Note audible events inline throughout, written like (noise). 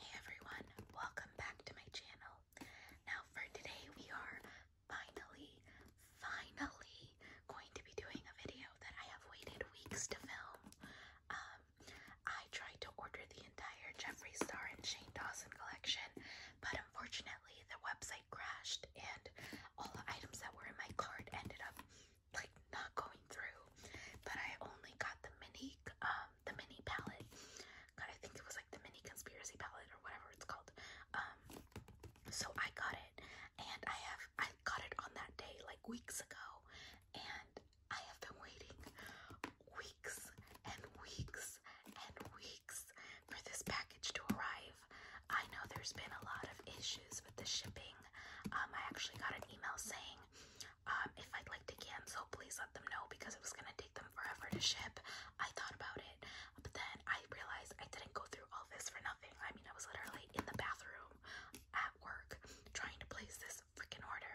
Hey everyone, welcome back to my channel. Now for today we are finally, finally going to be doing a video that I have waited weeks to film. Um, I tried to order the entire Jeffree Star and Shane Dawson collection, but unfortunately the website crashed and all the items that were in my cart ended up like not going through, but I only got the mini um the mini palette. God, I think it was like the mini conspiracy palette or whatever it's called. Um, so I got it, and I have I got it on that day like weeks ago, and I have been waiting weeks and weeks and weeks for this package to arrive. I know there's been a lot of issues with the shipping. Um, I actually got an email saying um, if I'd like to cancel, please let them know because it was gonna take them forever to ship. I thought about it, but then I realized I didn't go through all this for nothing. I mean, I was literally in the bathroom at work trying to place this freaking order,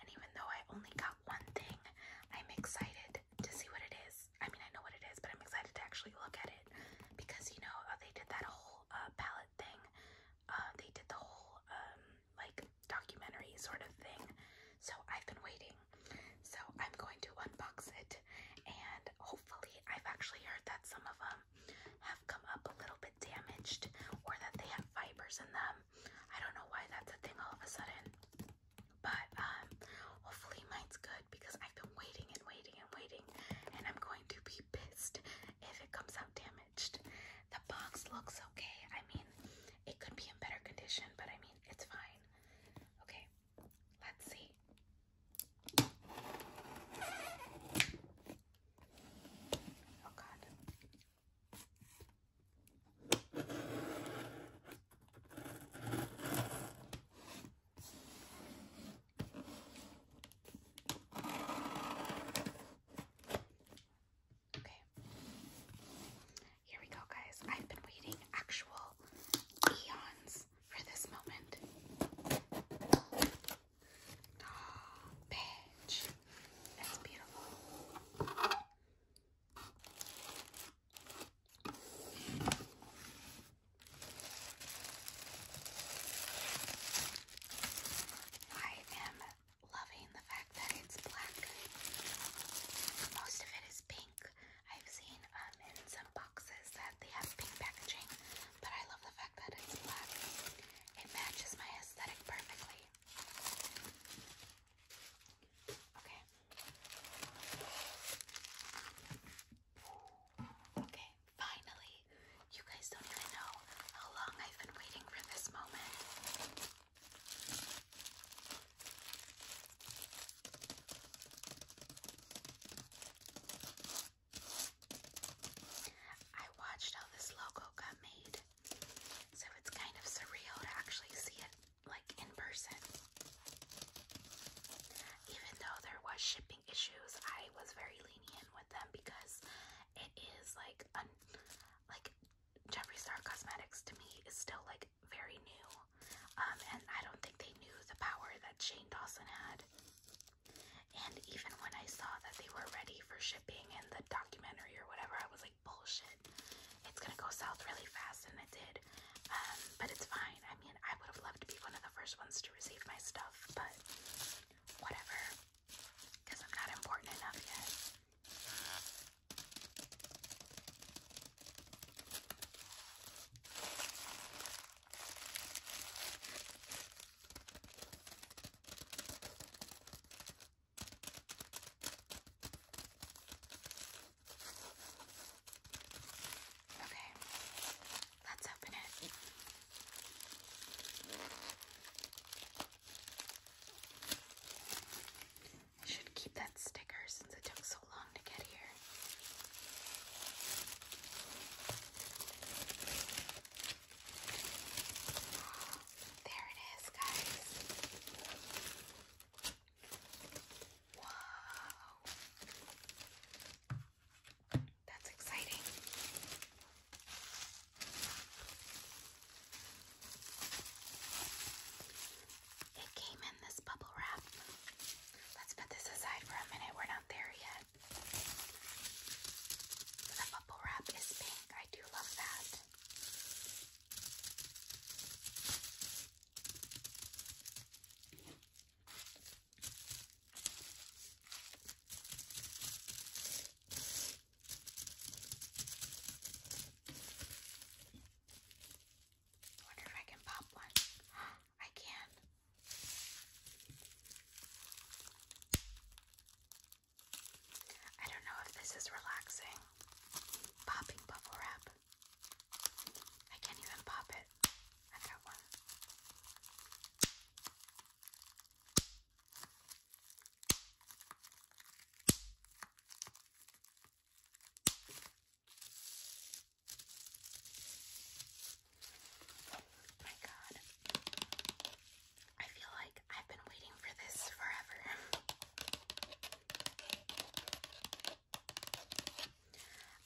and even though I only got one thing, I'm excited to see what it is. I mean, I know what it is, but I'm excited to actually look at it because you know, they did that whole uh, palette thing, uh, they did the whole um like documentary sort of thing. So I've been waiting. So I'm going to unbox it and hopefully I've actually heard that some of them have come up a little bit damaged or that they have fibers in them. I don't know why that's a thing all of a sudden. But um hopefully mine's good because I've been waiting and waiting and waiting and I'm going to be pissed if it comes out damaged. The box looks okay. I mean, it could be in better condition, but I mean, it's fine. Okay, let's see. Oh, God. Okay. Here we go, guys. I've been waiting actual eons for this moment. Oh, bitch. That's beautiful. I am loving the fact that it's black. Most of it is pink. I've seen um in some boxes that they have pink packaging, but I love the fact that it's black. It matches my aesthetic perfectly. Okay. Okay finally. You guys don't even know how long I've been waiting for this moment. I watched how this logo got made, so it's kind of surreal to actually see it like in person. Even though there was shipping issues, I was very lenient with them because it is like un like Jeffree Star Cosmetics to me is still like very new. Um, and I don't think they knew the power that Shane Dawson had. And even when I saw that they were ready for shipping in the documentary or whatever, I was like, bullshit. It's gonna go south really fast, and it did. Um, but it's fine. I mean, I would have loved to be one of the first ones to receive my stuff, but whatever. Because I'm not important enough yet. Okay. Let's open it. should keep that sticker since it took so long to get here. There it is, guys. Wow. That's exciting. It came in this bubble wrap. Let's put this aside for a minute. We're not there yet. The bubble wrap is pink. I do love that. Wonder if I can pop one. (gasps) I can. I don't know if this is relaxing. Popping bubble wrap. I can't even pop it. I got one. my god. I feel like I've been waiting for this forever.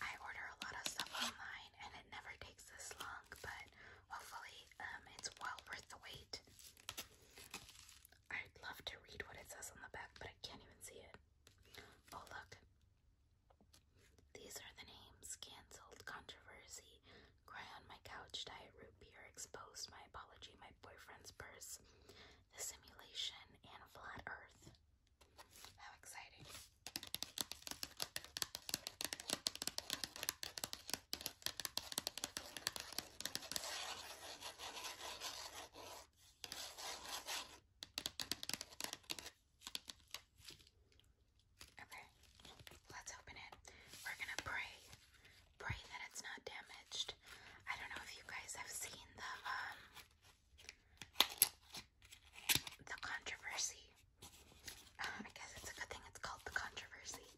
I order a lot of stuff online and it never takes this long, but hopefully um, it's well worth the wait. I'd love to read what it says on the back, but I can't even see it. Oh, look. These are the names cancelled, controversy, cry on my couch, diet root beer, exposed, my apology, my boyfriend's purse, the simulation, and flat earth. How exciting! Okay, let's open it. We're gonna pray, pray that it's not damaged. I don't know if you guys have seen the um the controversy. Um, I guess it's a good thing it's called the controversy,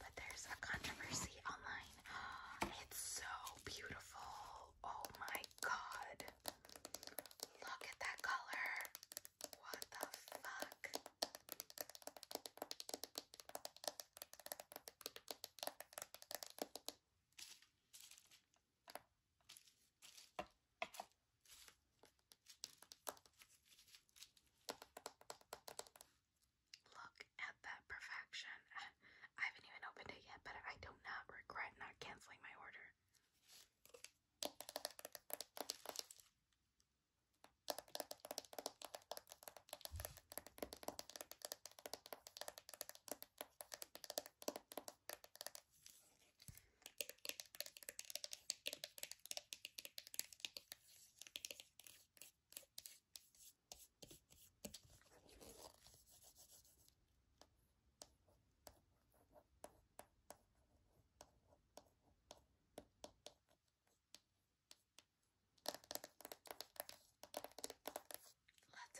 but there's a controversy online. (gasps) It's so beautiful. Oh my god. Look at that color. What the fuck? Look at that perfection. I haven't even opened it yet, but I do not regret not canceling my order. Let's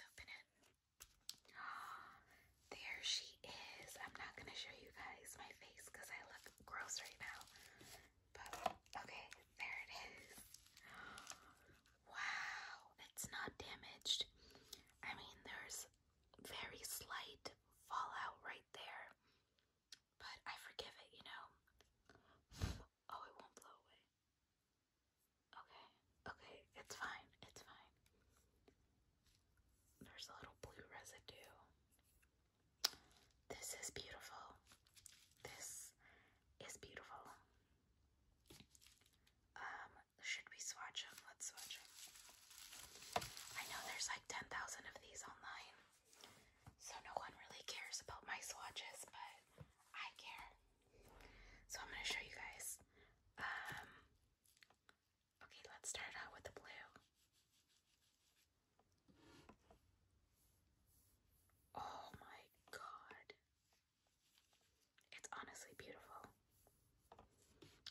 open it. (gasps) There she is. I'm not gonna show you guys my face because I look gross right now. But okay, there it is. (gasps) Wow, it's not damaged. I mean, there's very slight fallout right there, but I forgive it, you know. (sighs) Oh, it won't blow away. Okay okay, it's fine, it's fine. There's a little blue residue. This is beautiful. This is beautiful. Um, should we swatch them? Let's swatch them. I know there's like 10,000 of these online, so no one really cares about my swatches, but I care. So I'm gonna show you guys. Um, Okay, let's start out with the blue. Oh my god. It's honestly beautiful.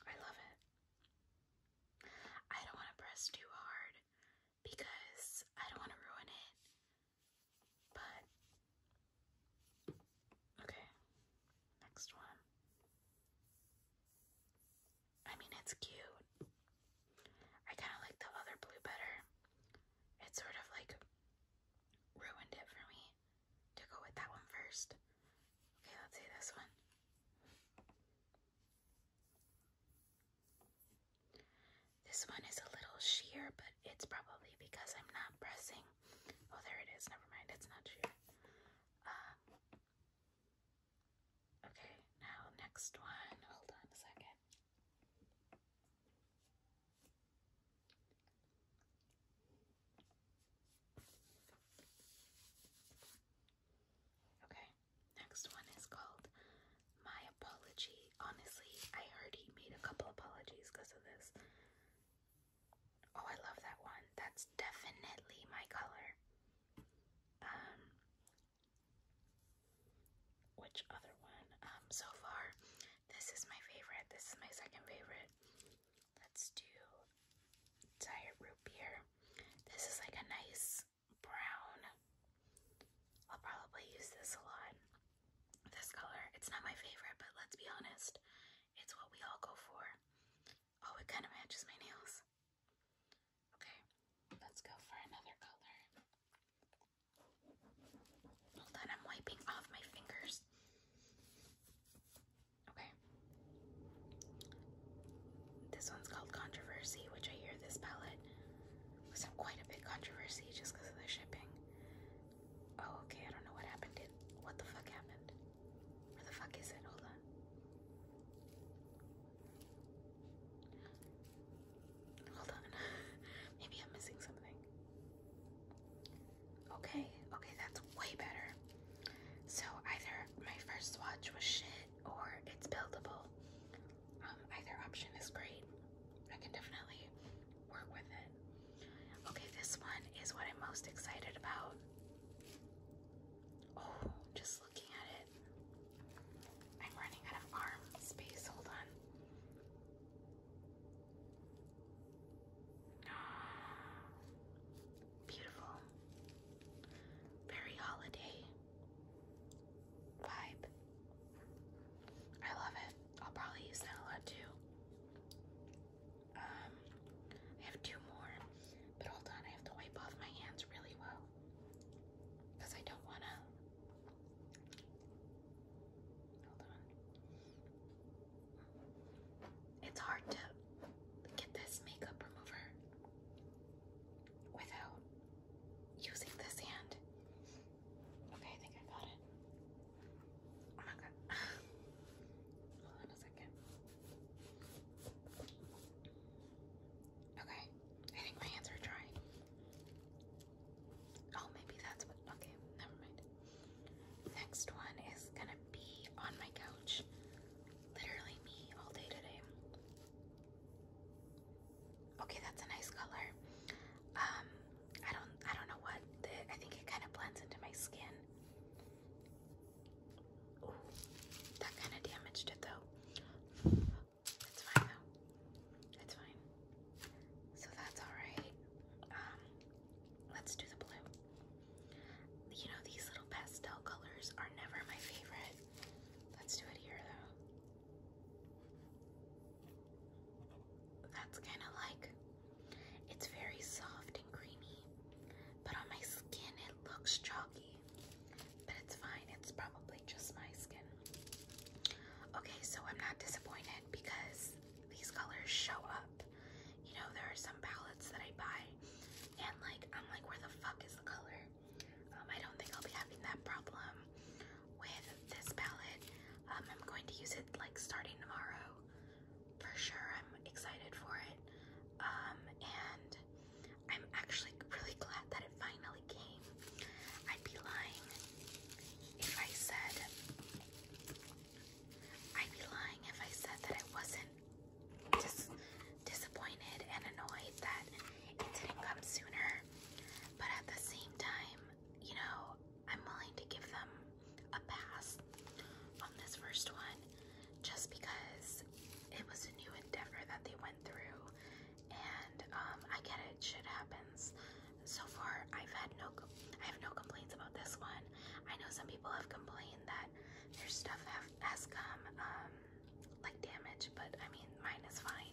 I love it. I don't want to press too hard because I don't want to ruin it. But Okay, next one. I mean, it's cute. I kind of like the other blue better. It sort of like ruined it for me to go with that one first. Okay, let's see this one. This one is a little sheer, but it's probably because I'm not pressing Oh, there it is. Never mind. It's not you. Um, okay, now next one. Hold on a second. Okay, next one is called My Apology. Honestly, I already made a couple apologies because of this. Oh, I love that one. That's definitely my color. Um, which other one? Um, so far, this is my favorite. This is my second favorite. Let's do Diet Root Beer. This is like a nice brown. I'll probably use this a lot. This color. It's not my favorite, but let's be honest. It's what we all go for. Oh, it kind of matches my nails. Okay, let's go for another color. Hold on, I'm wiping off my fingers. Okay. This one's called Controversy, which I hear this palette was in quite a bit controversy just because of the shipping. Oh, okay, I don't know what happened. what the fuck happened? Where the fuck is it? Hold on. Hold on. (laughs) Maybe I'm missing something. Okay, okay, that's way better. So either my first swatch was shit or it's buildable. Um, either option is great. I can definitely work with it. Okay, this one is what I'm most excited about. Oh, just looking at it. I'm running out of arm space. Hold on. Ah, beautiful. Very holiday vibe. I love it. I'll probably use that a lot too. Um, I have two more, but hold on, I have to wipe off my hands really well because I don't want to. Hold on. It's hard to get this makeup remover without using this hand. Okay, I think I got it. Oh my god. (sighs) Hold on a second. Okay. I think my hands are dry. Oh, maybe that's what. Okay, never mind. Next one is gonna be on my couch. Literally me all day today. Okay, that's a nice color. Um, I don't I don't know what the, I think it kind of blends into my skin. that kind of damaged it though. It's fine though. It's fine. So that's alright. Um, let's do the blue. You know, these little pastel colors are never my favorite. Let's do it here though. That's kind of like it's very soft and creamy, but on my skin it looks chalky. But it's fine, it's probably just my skin. Okay, so I'm not disappointed because these colors show up. You know, there are some palettes that I buy, and like, I'm like, where the fuck is the color? Um, I don't think I'll be having that problem with this palette. Um, I'm going to use it like starting tomorrow for sure. I'm excited for it. Um, and I'm actually really glad that it finally came. I'd be lying if I said, I'd be lying if I said that I wasn't dis disappointed and annoyed that it didn't come sooner. But at the same time, you know, I'm willing to give them a pass on this first one just because it was a new endeavor that they went through. And um, I get it, shit happens. So far, I've had no, I have no complaints about this one. I know some people have complained that their stuff have, has come um, like damaged, but I mean, mine is fine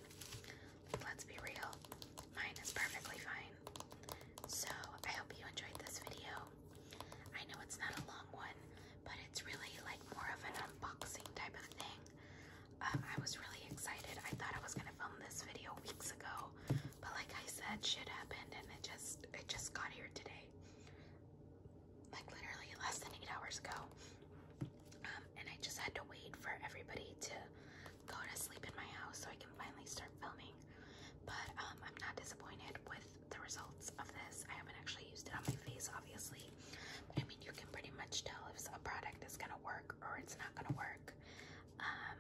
let's be real, mine is perfectly fine. So, I hope you enjoyed this video. I know it's not a long one, but it's really like more of an unboxing type of thing. Um, I was really excited. I thought I was gonna film this video weeks ago, but like I said, shit happened, and it just it just got here today, like literally less than eight hours ago. Um, and I just had to wait for everybody to go to sleep in my house so I can finally start filming. But um, I'm not disappointed with the results of this. I haven't actually used it on my face, obviously. I mean, you can pretty much tell if a product is gonna work or it's not gonna work. Um,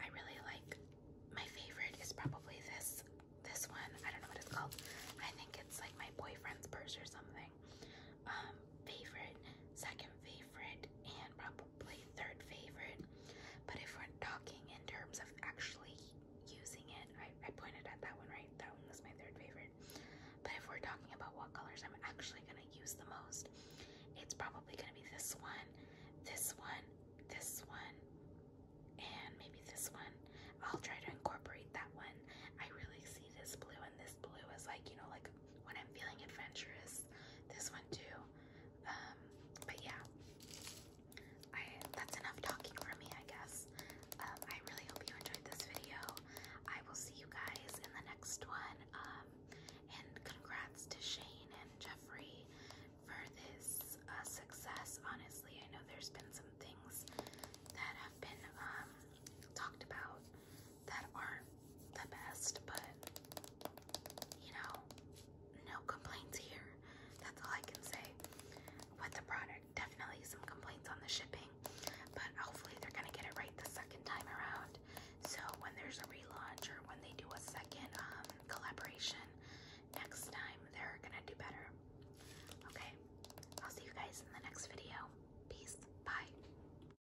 I really like. My favorite is probably this this one. I don't know what it's called. I think it's like my boyfriend's purse or something. Um, favorite, second favorite, and probably third favorite. But if we're talking in terms of actually using it, I, I pointed at that one, right? That one was my third favorite. But if we're talking about what colors I'm actually going to use the most, it's probably going to be this one, this one, this one, and maybe this one. I'll try to incorporate that one. I really see this blue and this blue as like, you know, like when I'm feeling adventurous. This one too. Um, but yeah, I that's enough talking for me, I guess. Um, I really hope you enjoyed this video. I will see you guys in the next one. Um, and congrats to Shane and Jeffrey for this uh, success. Honestly, I know there's been some things that have been um, talked about that aren't the best, but you know, no complaints here. That's all I can say with the product. Definitely some complaints on the shipping, but hopefully they're gonna get it right the second time around. So when there's a relaunch or when they do a second um, collaboration next time, they're gonna do better. Okay, I'll see you guys in the next video. Peace. Bye.